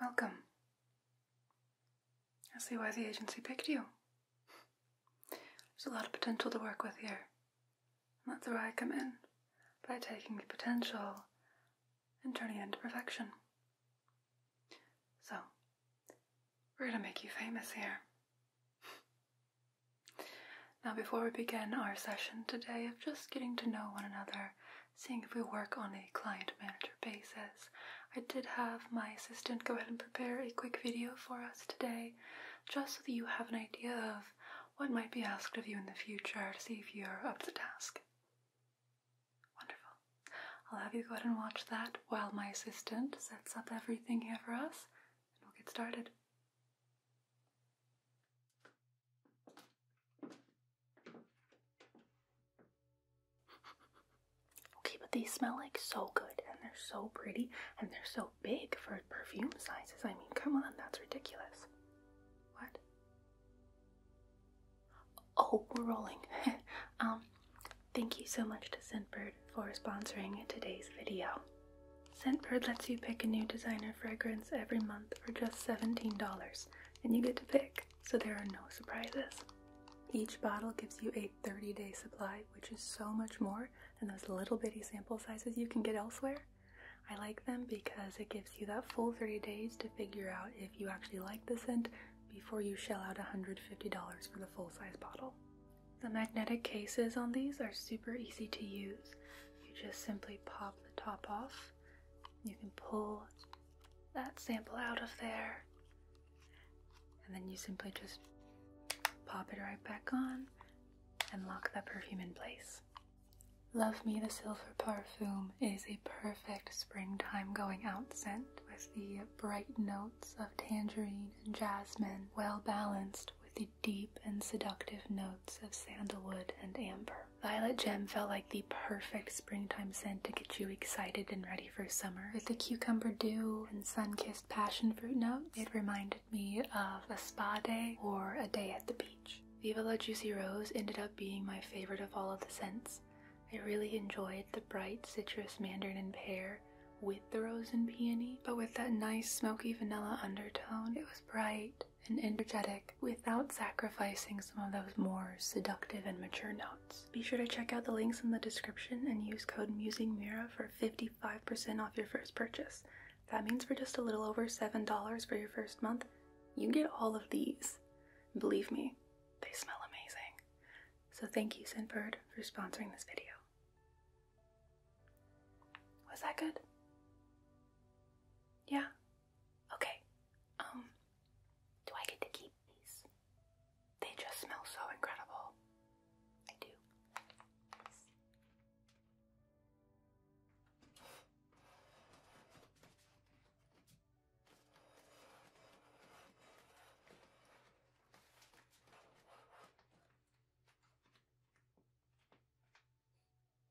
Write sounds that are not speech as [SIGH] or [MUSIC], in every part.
Welcome. I see why the agency picked you. There's a lot of potential to work with here. And that's where I come in, by taking the potential and turning it into perfection. So, we're gonna make you famous here. Now, before we begin our session today of just getting to know one another, seeing if we work on a client manager basis, I did have my assistant go ahead and prepare a quick video for us today, just so that you have an idea of what might be asked of you in the future to see if you're up to the task. Wonderful. I'll have you go ahead and watch that while my assistant sets up everything here for us, and we'll get started. Okay, but they smell like so good and they're so pretty and they're so big for perfume sizes. I mean, come on, that's ridiculous. What? Oh, we're rolling. [LAUGHS] um, thank you so much to Scentbird for sponsoring today's video. Scentbird lets you pick a new designer fragrance every month for just $17, and you get to pick, so there are no surprises. Each bottle gives you a 30 day supply, which is so much more than those little bitty sample sizes you can get elsewhere. I like them because it gives you that full 30 days to figure out if you actually like the scent before you shell out $150 for the full size bottle. The magnetic cases on these are super easy to use. You just simply pop the top off you can pull that sample out of there, and then you simply just pop it right back on and lock the perfume in place. Love Me the Silver Parfum is a perfect springtime going out scent with the bright notes of tangerine and jasmine well balanced with the deep and seductive notes of sandalwood and amber. Violet Gem felt like the perfect springtime scent to get you excited and ready for summer. With the cucumber dew and sun-kissed passion fruit notes, it reminded me of a spa day or a day at the beach. Viva La Juicy Rose ended up being my favorite of all of the scents. I really enjoyed the bright citrus mandarin and pear with the rose and peony, but with that nice smoky vanilla undertone, it was bright and energetic without sacrificing some of those more seductive and mature notes. Be sure to check out the links in the description and use code MusingMira for 55% off your first purchase. That means for just a little over $7 for your first month, you get all of these. Believe me, they smell amazing. So thank you, Scentbird, for sponsoring this video. Was that good? Yeah, Okay, um, do I get to keep these? They just smell so incredible. I do.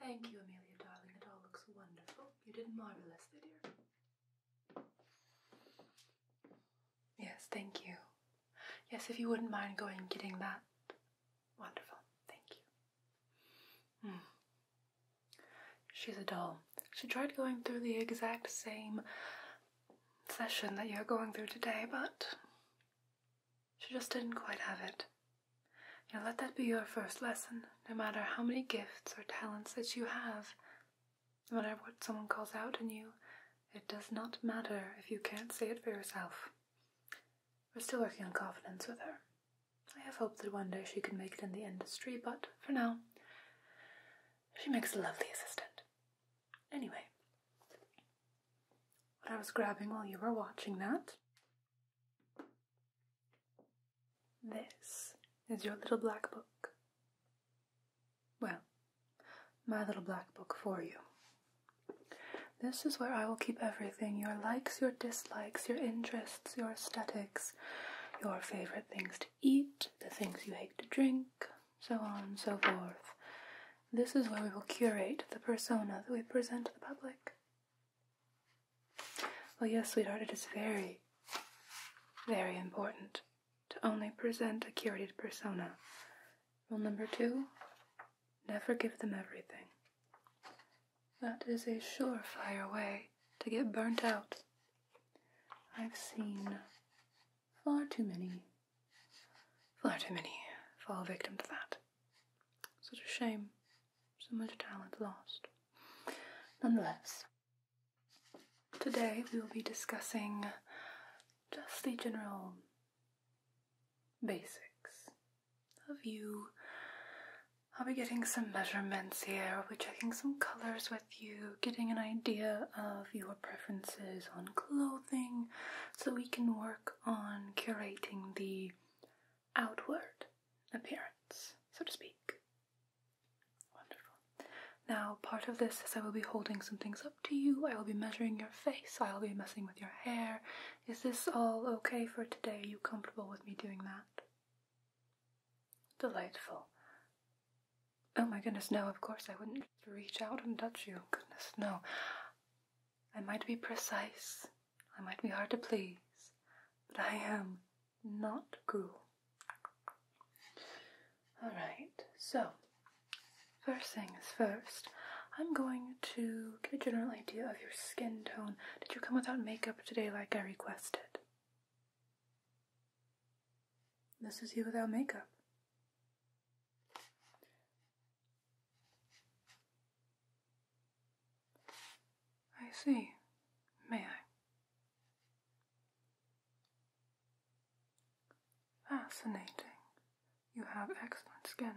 Thank you, Amelia, darling. It all looks wonderful. You did marvelous, dear. Yes, thank you. Yes, if you wouldn't mind going and getting that. Wonderful. Thank you. Mm. She's a doll. She tried going through the exact same session that you're going through today, but she just didn't quite have it. Now let that be your first lesson, no matter how many gifts or talents that you have, no matter what someone calls out in you, it does not matter if you can't say it for yourself. We're still working on confidence with her. I have hope that one day she can make it in the industry, but for now, she makes a lovely assistant. Anyway, what I was grabbing while you were watching that this is your little black book. Well, my little black book for you. This is where I will keep everything your likes, your dislikes, your interests, your aesthetics, your favorite things to eat, the things you hate to drink, so on and so forth. This is where we will curate the persona that we present to the public. Well, yes, sweetheart, it is very, very important to only present a curated persona. Rule number two never give them everything. That is a surefire way to get burnt out. I've seen far too many, far too many fall victim to that. Such a shame. So much talent lost. Nonetheless, today we will be discussing just the general basics of you. I'll be getting some measurements here, I'll checking some colours with you, getting an idea of your preferences on clothing so we can work on curating the outward appearance, so to speak. Wonderful. Now, part of this is I will be holding some things up to you, I will be measuring your face, I will be messing with your hair. Is this all okay for today? Are you comfortable with me doing that? Delightful. Oh my goodness, no, of course I wouldn't reach out and touch you. Goodness, no. I might be precise, I might be hard to please, but I am not cruel. Alright, so first things first, I'm going to get a general idea of your skin tone. Did you come without makeup today like I requested? This is you without makeup. I see. May I? Fascinating. You have excellent skin.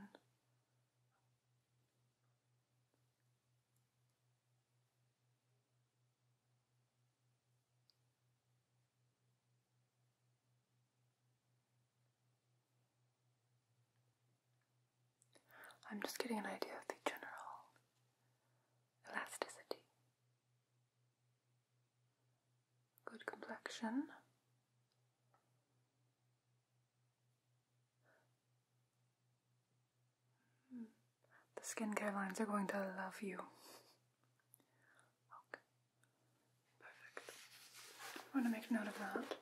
I'm just getting an idea of the general elasticity. Good complexion. Hmm. The skincare lines are going to love you. Okay, perfect. I want to make note of that.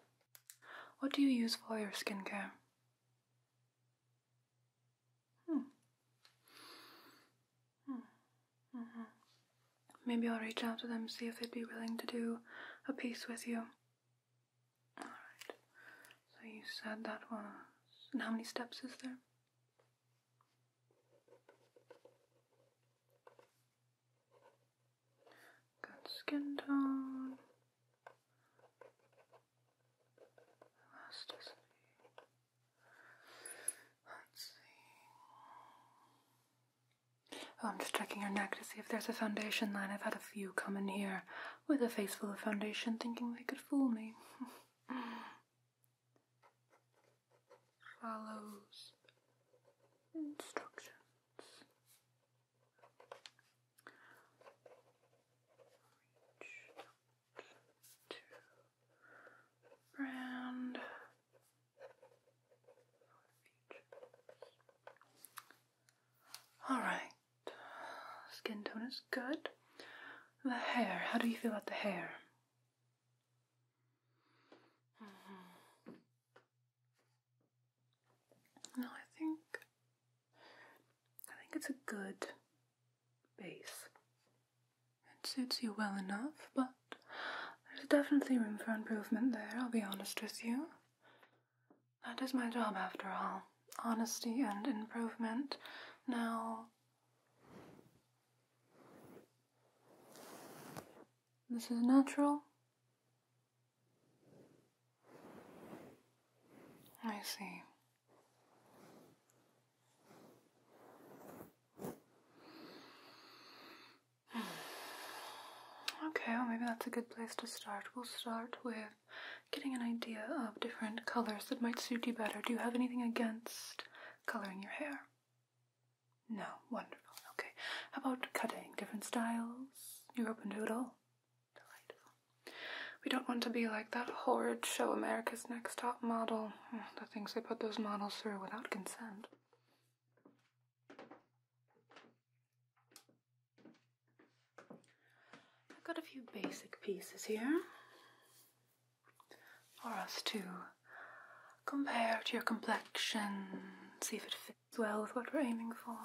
What do you use for your skincare? Hmm. Hmm. Mm -hmm. Maybe I'll reach out to them, see if they'd be willing to do a piece with you. Alright. So you said that was. And how many steps is there? Good skin tone, elasticity. Let's see. Oh, I'm just checking your neck to see if there's a foundation line. I've had a few come in here with a face full of foundation thinking they could fool me. [LAUGHS] Follows instructions. Reach all right, skin tone is good. The hair, how do you feel about the hair? Mm-hmm. No, I think I think it's a good base. It suits you well enough, but there's definitely room for improvement there, I'll be honest with you. That is my job after all. Honesty and improvement. Now this is natural. I see. [SIGHS] Okay, well, maybe that's a good place to start. We'll start with getting an idea of different colors that might suit you better. Do you have anything against coloring your hair? No, wonderful. Okay, how about cutting? Different styles? You're open to it all? Delightful. We don't want to be like that horrid show America's Next Top Model. Oh, the things they put those models through without consent. I've got a few basic pieces here for us to compare to your complexion, see if it fits fits well with what we're aiming for.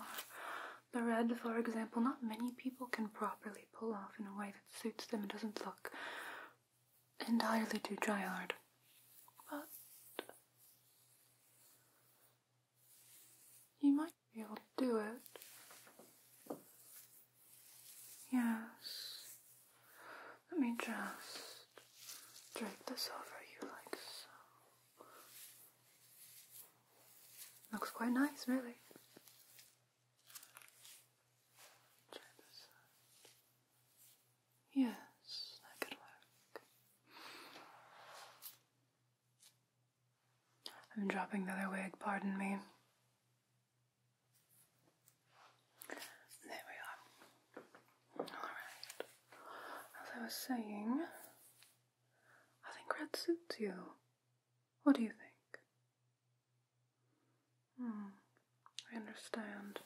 The red, for example, not many people can properly pull off in a way that suits them and doesn't look entirely too dry hard. But you might be able to do it. Yes. Let me just drape this over you like so. Looks quite nice, really. Yes, that could I'm dropping the other wig, pardon me. There we are. Alright. As I was saying, I think red suits you. What do you think? Hmm, I understand.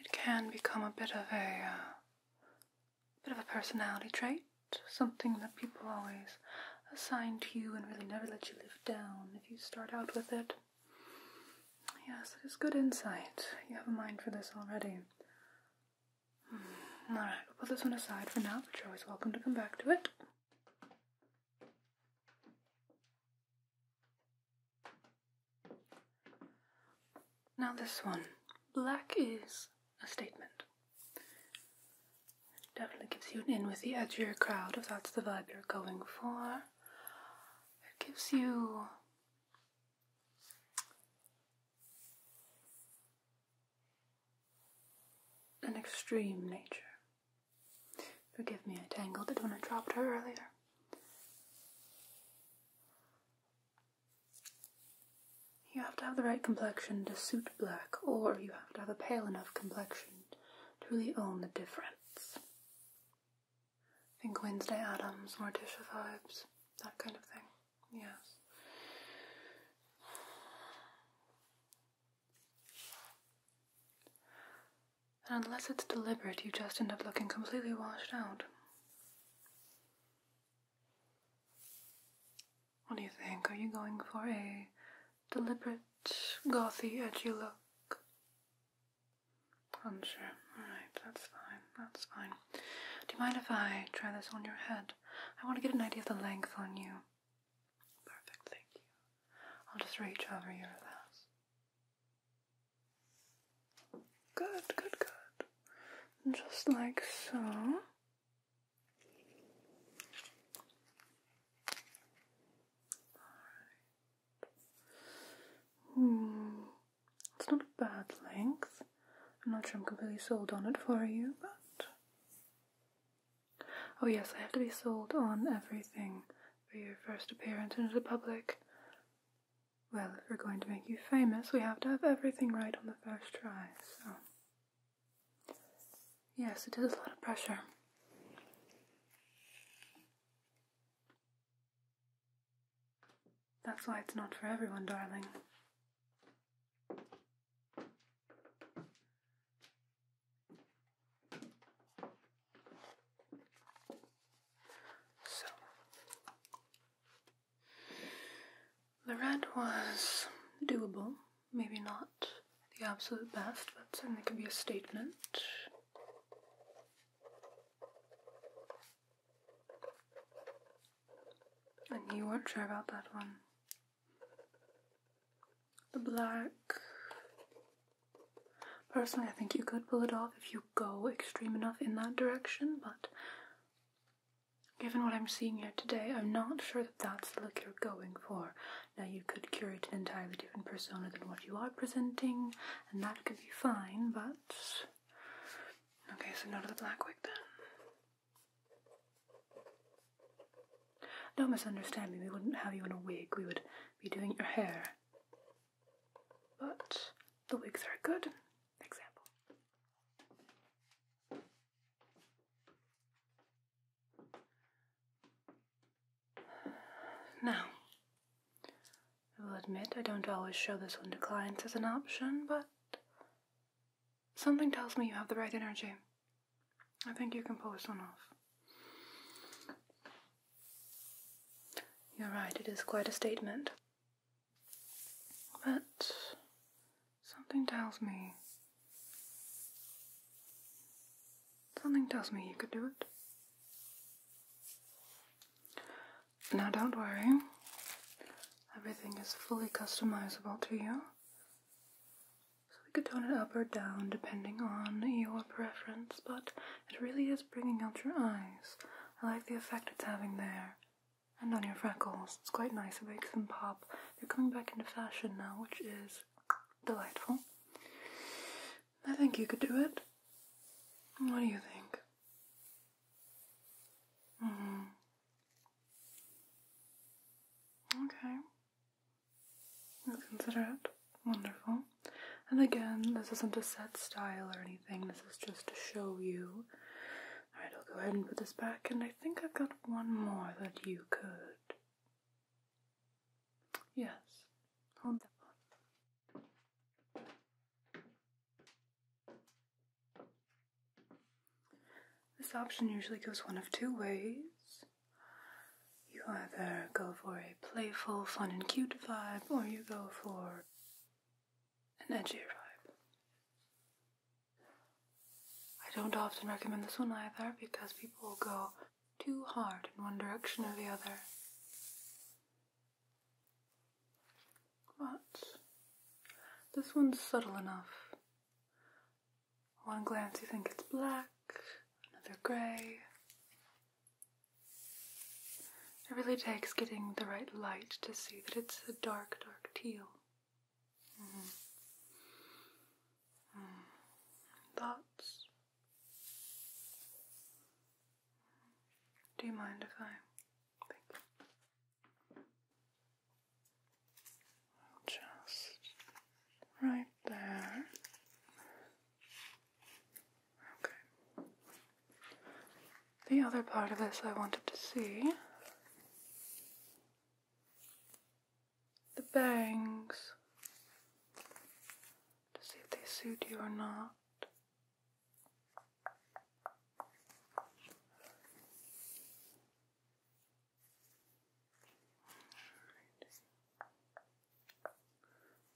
It can become a bit of a, uh, bit of a personality trait, something that people always assign to you and really never let you live down if you start out with it. Yes, it is good insight. You have a mind for this already. [SIGHS] Alright, we'll put this one aside for now, but you're always welcome to come back to it. Now, this one. Black is a statement. definitely gives you an in with the edgier crowd if that's the vibe you're going for. It gives you an extreme nature. Forgive me, I tangled it when I dropped her earlier. You have to have the right complexion to suit black, or you have to have a pale enough complexion to really own the difference. I think Wednesday Adams, Morticia vibes, that kind of thing. Yes. And unless it's deliberate, you just end up looking completely washed out. What do you think? Are you going for a deliberate, gothy, edgy look? Unsure. Alright, that's fine. That's fine. Do you mind if I try this on your head? I want to get an idea of the length on you. Perfect, thank you. I'll just reach over your relax. Good, good, good. Just like so. Hmm, it's not a bad length. I'm not sure I'm completely sold on it for you, but Oh, yes, I have to be sold on everything for your first appearance into the public. Well, if we're going to make you famous, we have to have everything right on the first try, so. Yes, it is a lot of pressure. That's why it's not for everyone, darling. So, the red was doable, maybe not the absolute best, but certainly could be a statement. And you weren't sure about that one. The black. Personally, I think you could pull it off if you go extreme enough in that direction, but given what I'm seeing here today, I'm not sure that that's the look you're going for. Now, you could curate an entirely different persona than what you are presenting, and that could be fine, but. Okay, so no to the black wig then. Don't misunderstand me, we wouldn't have you in a wig, we would be doing your hair. But the wigs are a good example. Now, I will admit I don't always show this one to clients as an option, but Something tells me you have the right energy. I think you can pull this one off. You're right, it is quite a statement. But something tells me. Something tells me you could do it. Now, don't worry, everything is fully customizable to you. So we could tone it up or down depending on your preference, but it really is bringing out your eyes. I like the effect it's having there. And on your freckles, it's quite nice, it makes them pop. They're coming back into fashion now, which is delightful. I think you could do it. What do you think? -hmm. Okay. I consider it wonderful. And again, this isn't a set style or anything, this is just to show you. Alright, I'll go ahead and put this back, and I think I've got one more that you could. Yes, hold that one. This option usually goes one of two ways. You either go for a playful, fun, and cute vibe, or you go for an edgier vibe. I don't often recommend this one either because people go too hard in one direction or the other. But this one's subtle enough one glance you think it's black, another grey. It really takes getting the right light to see that it's a dark, dark teal. Mm-hmm. Mm-hmm. Thoughts? Do you mind if I just right there. Okay. The other part of this I wanted to see the bangs to see if they suit you or not.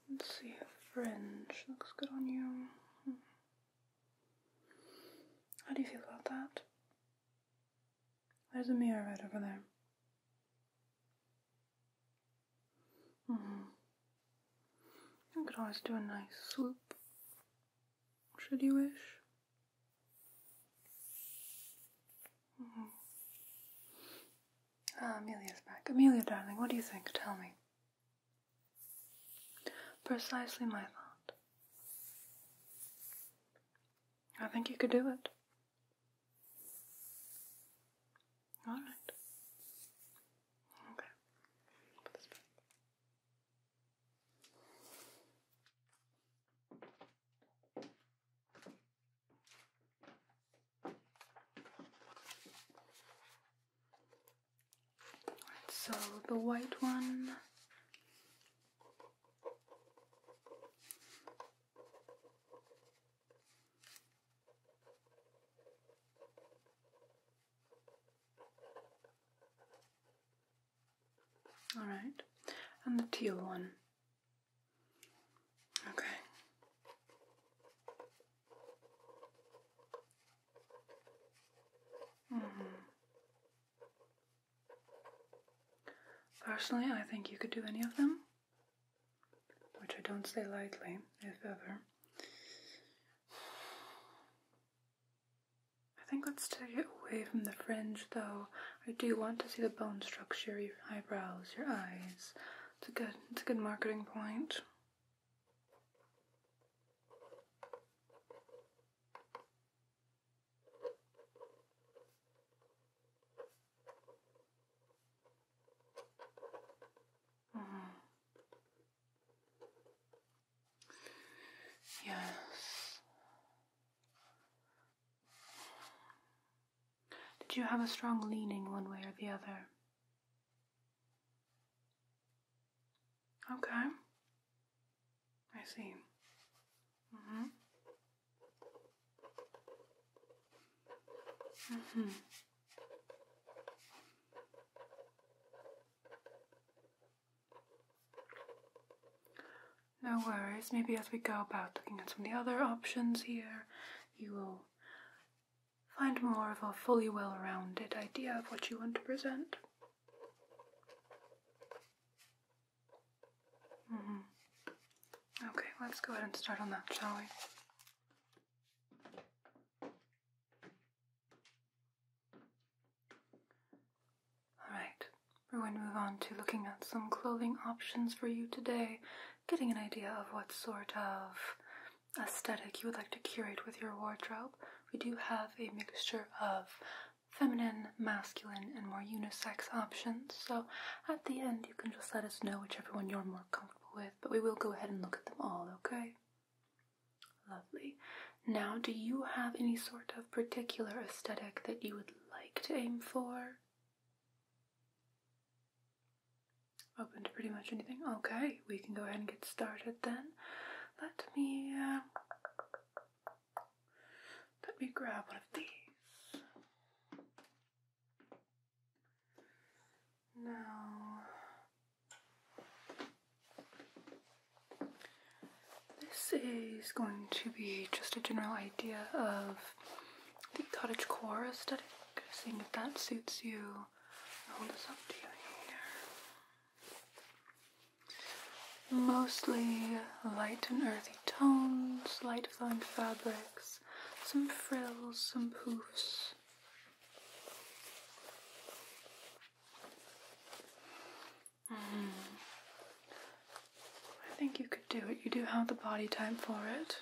Let's see if fringe looks good on you. Hmm. How do you feel about that? There's a mirror right over there. Mm-hmm. You could always do a nice swoop should you wish. Mm-hmm. Ah, Amelia's back. Amelia, darling, what do you think? Tell me. Precisely my thought. I think you could do it. Alright. Okay. Put this back. So the white one. All right, and the teal one. Okay. Mm-hmm. Personally, I think you could do any of them, which I don't say lightly, if ever. I think let's take it away from the fringe though. I do want to see the bone structure, your eyebrows, your eyes. It's a good it's a good marketing point. Mm-hmm. Yes, did you have a strong leaning one way or the other? Okay. I see. Mhm. Mhm. No worries, maybe as we go about looking at some of the other options here, you will find more of a fully well rounded idea of what you want to present. Mm-hmm. Okay, let's go ahead and start on that, shall we? Alright, we're going to move on to looking at some clothing options for you today, getting an idea of what sort of aesthetic you would like to curate with your wardrobe. We do have a mixture of feminine, masculine, and more unisex options, so at the end you can just let us know which one you're more comfortable with, but we will go ahead and look at them all, okay? Lovely. Now, do you have any sort of particular aesthetic that you would like to aim for? Open to pretty much anything? Okay, we can go ahead and get started then. Let me, uh, let me grab one of these. Now, this is going to be just a general idea of the cottage core aesthetic, seeing if that suits you. hold this up to you here. Mostly light and earthy tones, light flowing fabrics, some frills, some poofs. Mm. I think you could do it. You do have the body type for it.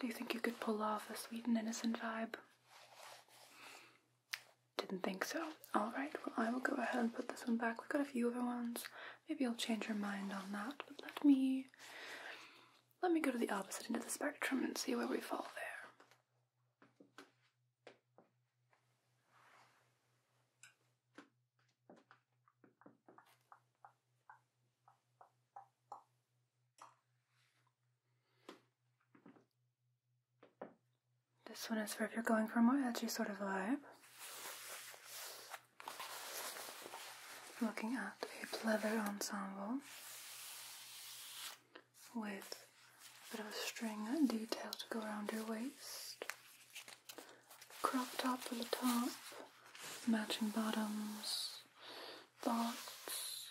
Do you think you could pull off a sweet and innocent vibe? Didn't think so. Alright, well, I will go ahead and put this one back. We've got a few other ones. Maybe you'll change your mind on that, but let me. Let me go to the opposite end of the spectrum and see where we fall there. This one is for if you're going for a more edgy sort of vibe. Looking at a leather ensemble with a bit of a string detail to go around your waist. Crop top for the top, matching bottoms, thoughts.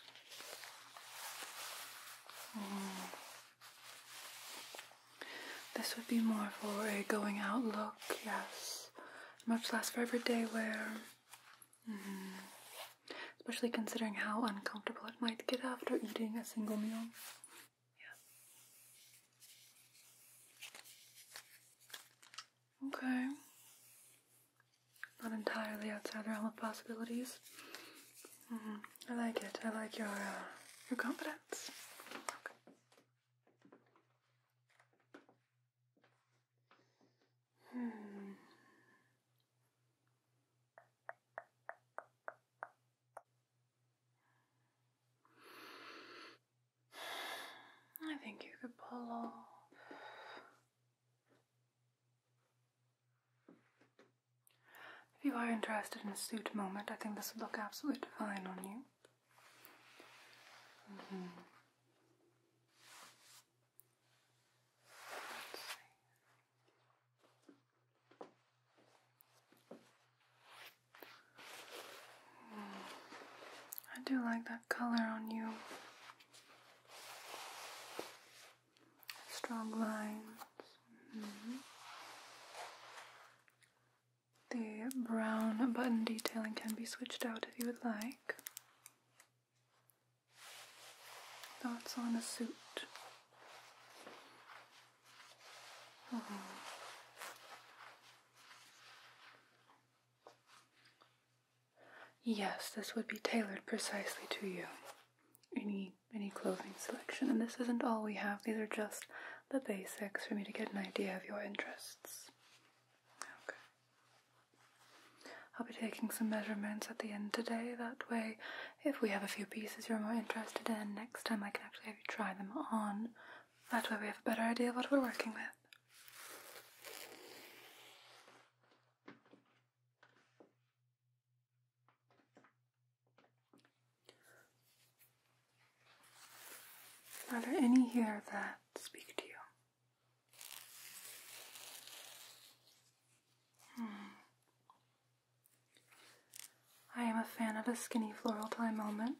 Hmm. This would be more for a going out look, yes. Much less for everyday wear. Hmm. Especially considering how uncomfortable it might get after eating a single meal. Yeah. Okay. Not entirely outside the realm of possibilities. Mm-hmm. I like it. I like your uh, your confidence. Hmm. I think you could pull off if you are interested in a suit moment, I think this would look absolutely fine on you. Mm-hmm. Let's see. I do like that color on you. Strong lines. Mm-hmm. The brown button detailing can be switched out if you would like. Thoughts on a suit. Yes, this would be tailored precisely to you. Any any clothing selection, and this isn't all we have. These are just the basics for me to get an idea of your interests. Okay. I'll be taking some measurements at the end today. That way, if we have a few pieces you're more interested in, next time I can actually have you try them on. That way we have a better idea of what we're working with. Are there any here that speak to you? Hmm. I am a fan of a skinny floral tie moment.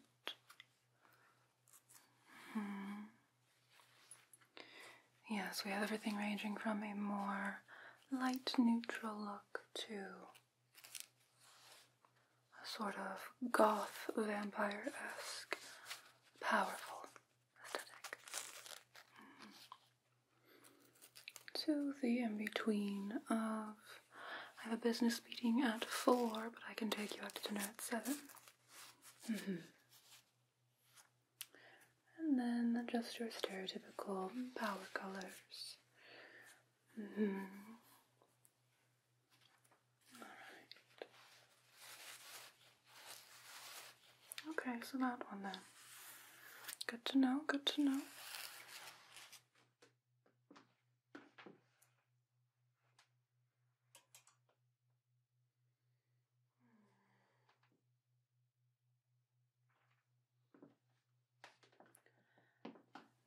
Hmm. Yes, we have everything ranging from a more light neutral look to a sort of goth vampire esque powerful aesthetic. Hmm to the in between of I have a business meeting at four, but I can take you out to dinner at seven. Mm-hmm. And then just your stereotypical power colors. Mm-hmm. All right. Okay, so that one then. Good to know, good to know.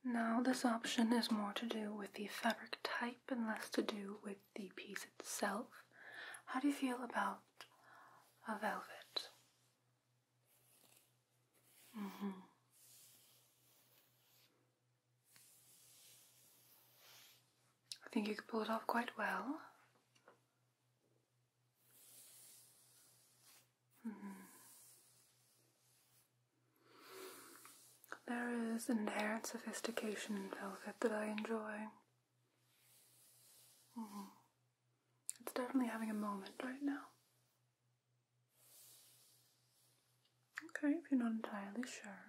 Now, this option is more to do with the fabric type and less to do with the piece itself. How do you feel about a velvet? Mm-hmm. I think you could pull it off quite well. Mm-hmm. There is an inherent sophistication in velvet that I enjoy. Mm-hmm. It's definitely having a moment right now. Okay, if you're not entirely sure.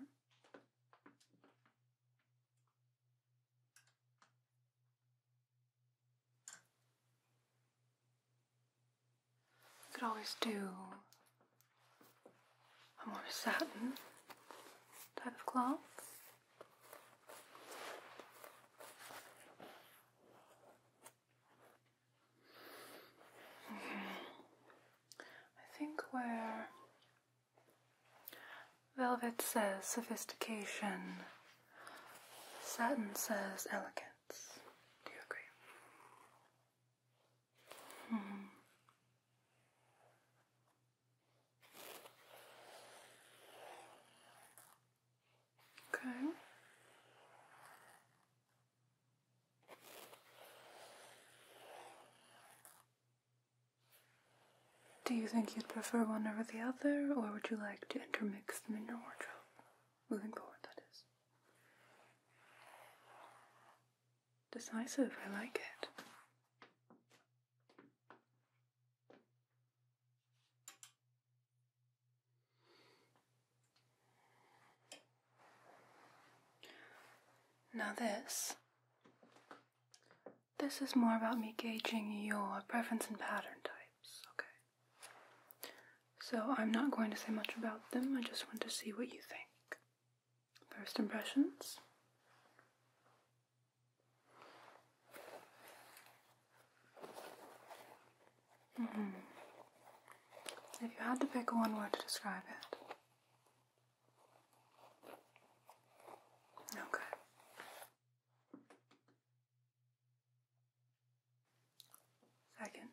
You could always do a more satin type of cloth. I think where velvet says sophistication, satin says elegance. Do you agree? Hmm. Okay. Do you think you'd prefer one over the other, or would you like to intermix them in your wardrobe? Moving forward, that is. Decisive, I like it. Now, this. This is more about me gauging your preference and pattern types, okay? So, I'm not going to say much about them, I just want to see what you think. First impressions. Mm-hmm. If you had to pick one word to describe it. Okay. Second.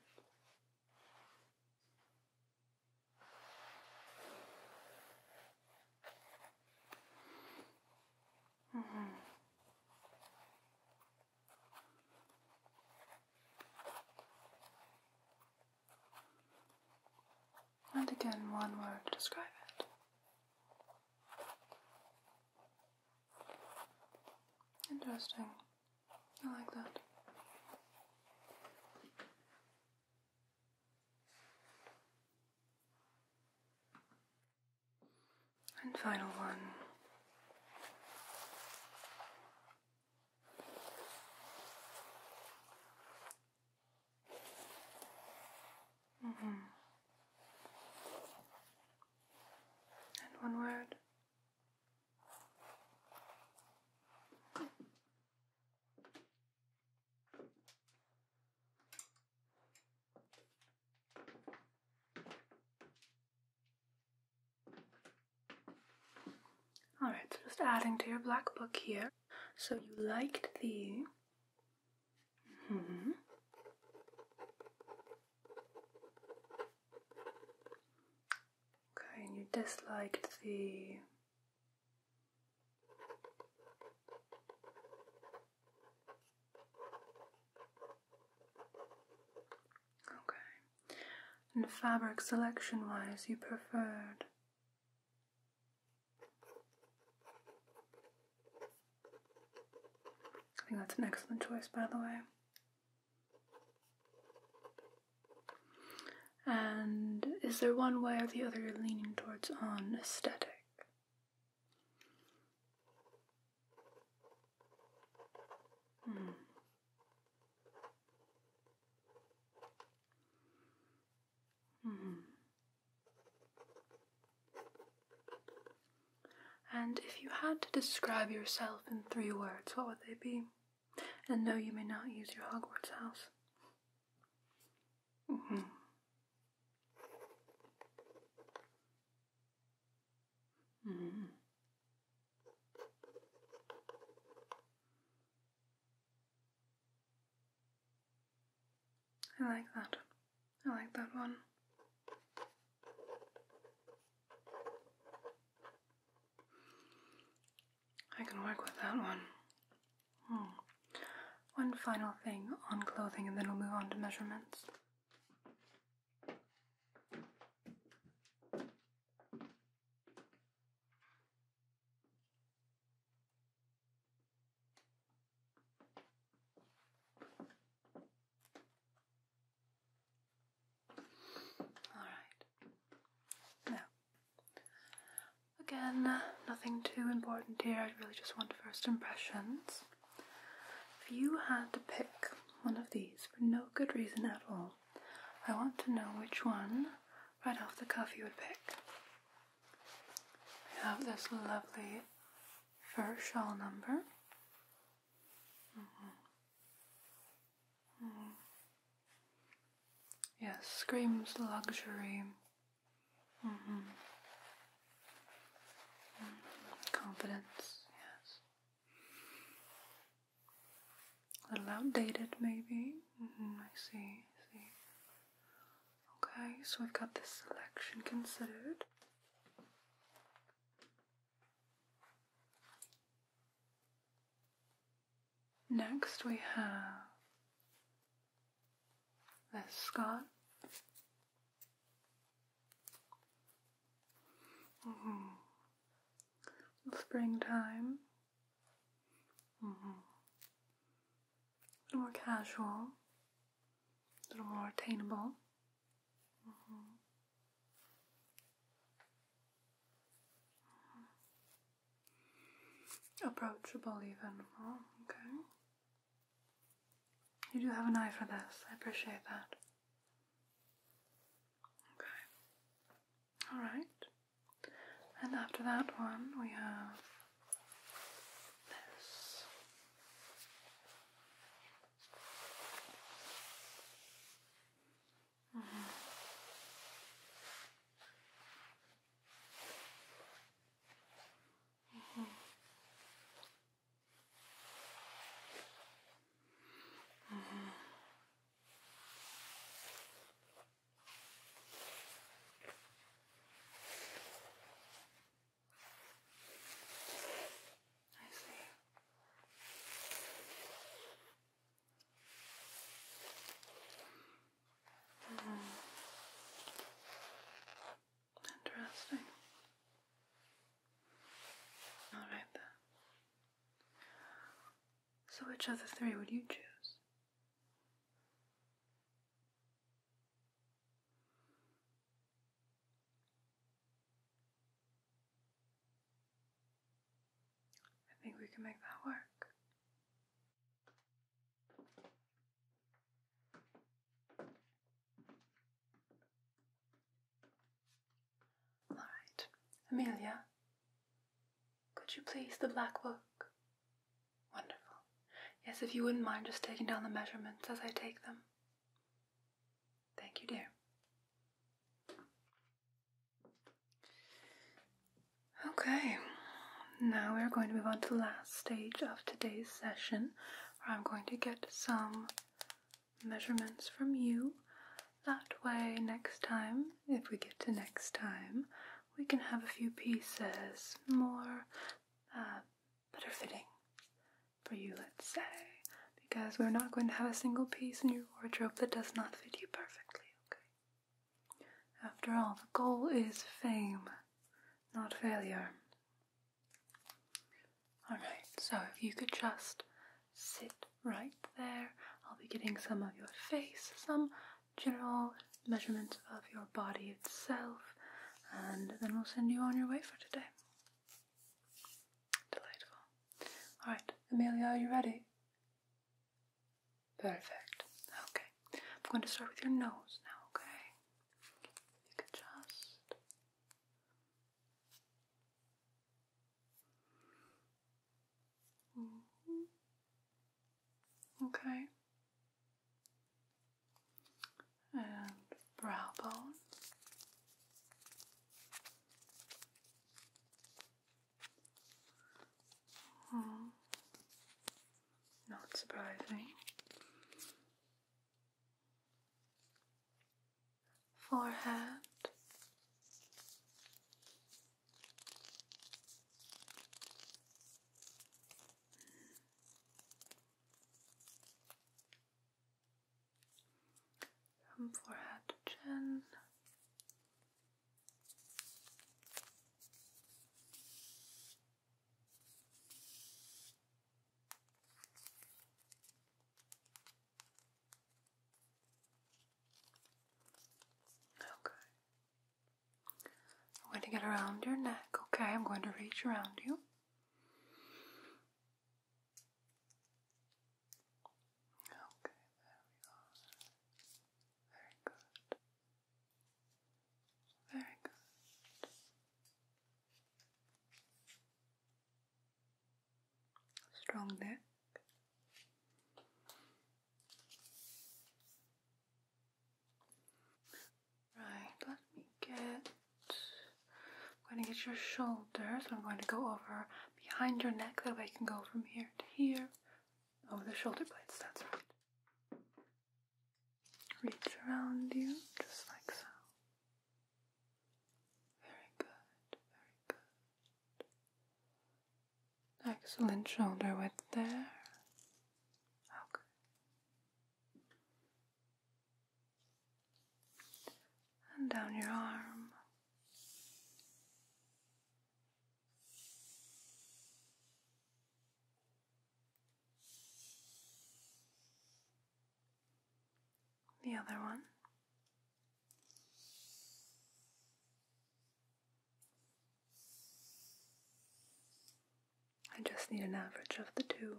Mm -hmm. And again, one word to describe it. Interesting. I like that. And final one. Mm -hmm. And one word. Alright, so just adding to your black book here. So you liked the. Mm-hmm. Okay, and you disliked the. Okay and fabric selection wise you preferred. I think that's an excellent choice, by the way. And is there one way or the other you're leaning towards on aesthetic? Hmm. Hmm. And if you had to describe yourself in three words, what would they be? And no, you may not use your Hogwarts house. -hmm. Mm. I like that. I like that one. I can work with that one. Hmm. One final thing on clothing, and then we'll move on to measurements. All right. Now, again, nothing too important here. I really just want first impressions. If you had to pick one of these for no good reason at all. I want to know which one, right off the cuff, you would pick. I have this lovely fur shawl number. Mm-hmm. Mm-hmm. Yes, screams luxury. Mm-hmm. Confidence, yes. A little outdated, maybe. Mm-hmm, I see, I see. Okay, so we've got this selection considered. Next, we have this Scott Mm Springtime. Mm-hmm. A little more casual, a little more attainable. Mm-hmm. Approachable, even. Oh, okay. You do have an eye for this. I appreciate that. Okay. Alright. And after that one, we have this. Mm -hmm. Mm -hmm. I see. Mm. Interesting. All right then. So, which of the three would you choose? I think we can make that work. All right, Amelia, could you please the black book? Wonderful. Yes, if you wouldn't mind just taking down the measurements as I take them. Thank you, dear. Okay, now we're going to move on to the last stage of today's session where I'm going to get some measurements from you. That way, next time, if we get to next time, we can have a few pieces more uh, better fitting for you, let's say, because we're not going to have a single piece in your wardrobe that does not fit you perfectly, okay? After all, the goal is fame, not failure. Alright, so if you could just sit right there, I'll be getting some of your face, some general measurements of your body itself, and then we'll send you on your way for today. Delightful. Alright, Amelia, are you ready? Perfect. Okay, I'm going to start with your nose now, okay? you could just. Mm-hmm. Okay. And brow bone. Mm-hmm. Not surprising forehead. forehead chin. Okay. I'm going to get around your neck, okay? I'm going to reach around you. Okay, there we are. Very good. Very good strong neck. Right, let me get. I'm going to get your shoulders. I'm going to go over behind your neck. That way I can go from here to here. over oh, the shoulder blades, that's right. Reach around you, just like so. Very good, very good. Excellent shoulder width there. Okay. And down your arm. The other one. I just need an average of the two.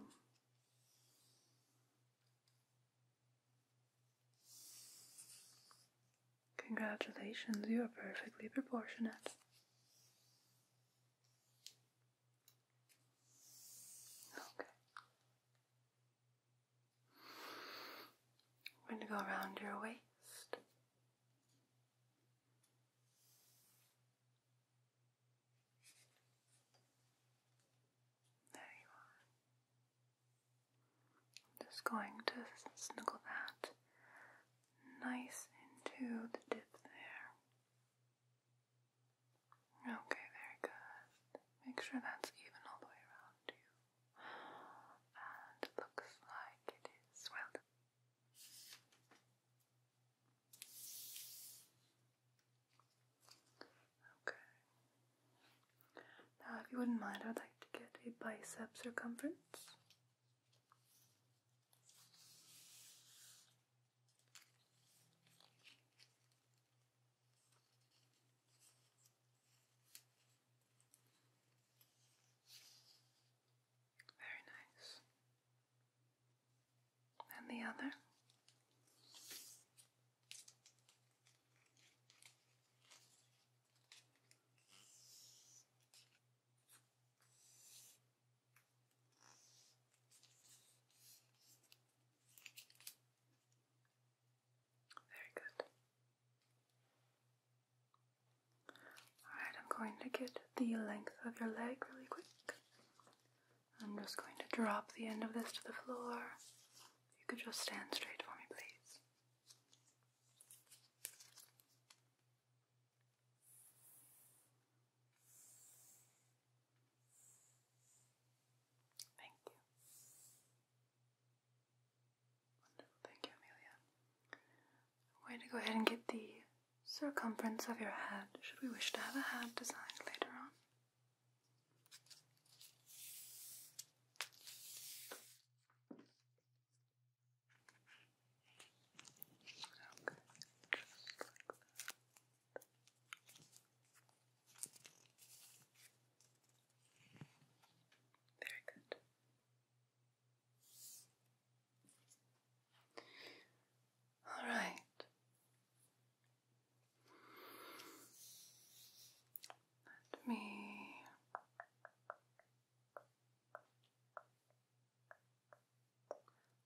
Congratulations, you are perfectly proportionate. Okay. I'm going to go around your waist. There you are. just going to snuggle that nice into the dip there. Okay, very good. Make sure that's even all the way around you and looks like it is well Okay. Now, if you wouldn't mind, I'd like to get a bicep circumference. Very nice. And the other? Very good. Alright, I'm going to get the length of your leg really quick. I'm just going to drop the end of this to the floor. You could just stand straight for me, please. Thank you. Wonderful, thank you, Amelia. I'm going to go ahead and get the circumference of your head, should we wish to have a hat designed later on. Okay, just like that. Very good. All right. Let me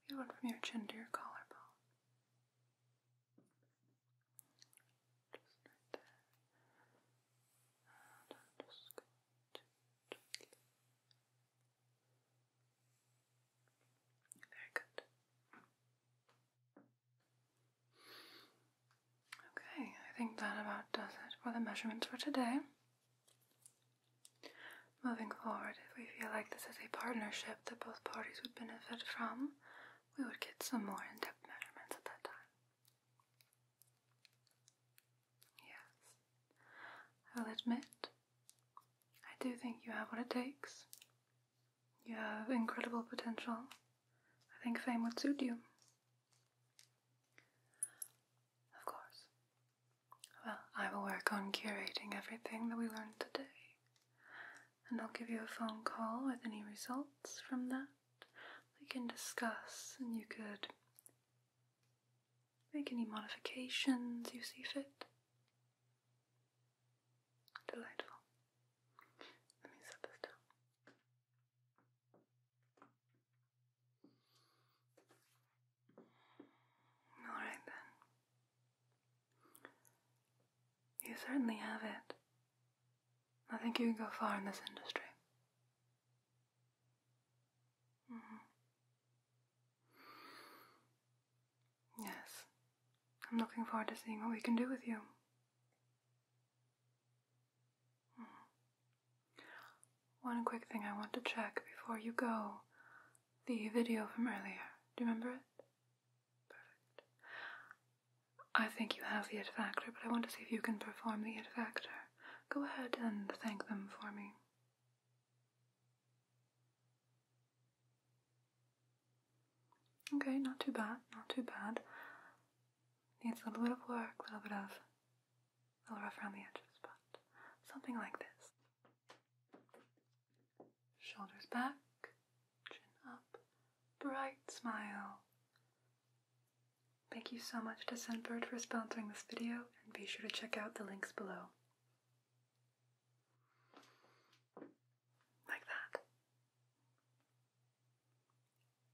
we from your chin to your collarbone. Very good. Okay, I think that about does it for the measurements for today. Moving forward, if we feel like this is a partnership that both parties would benefit from, we would get some more in depth measurements at that time. Yes, I'll admit, I do think you have what it takes. You have incredible potential. I think fame would suit you. Of course. Well, I will work on curating everything that we learned today, and I'll give you a phone call with any results from that we can discuss and you could make any modifications you see fit. Delightful. Let me set this down. Alright then. You certainly have it I think you can go far in this industry. Mm-hmm. Yes. I'm looking forward to seeing what we can do with you. Mm-hmm. One quick thing I want to check before you go. The video from earlier. Do you remember it? Perfect. I think you have the it factor, but I want to see if you can perform the it factor. Go ahead and thank them for me. Okay, not too bad, not too bad. Needs a little bit of work, a little bit of a little rough around the edges, but something like this. Shoulders back, chin up, bright smile, Thank you so much to Sunbird for sponsoring this video, and be sure to check out the links below. Like that.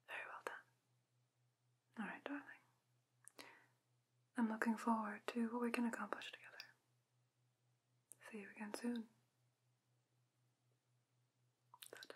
Very well done. Alright, darling. I'm looking forward to what we can accomplish together. See you again soon. ta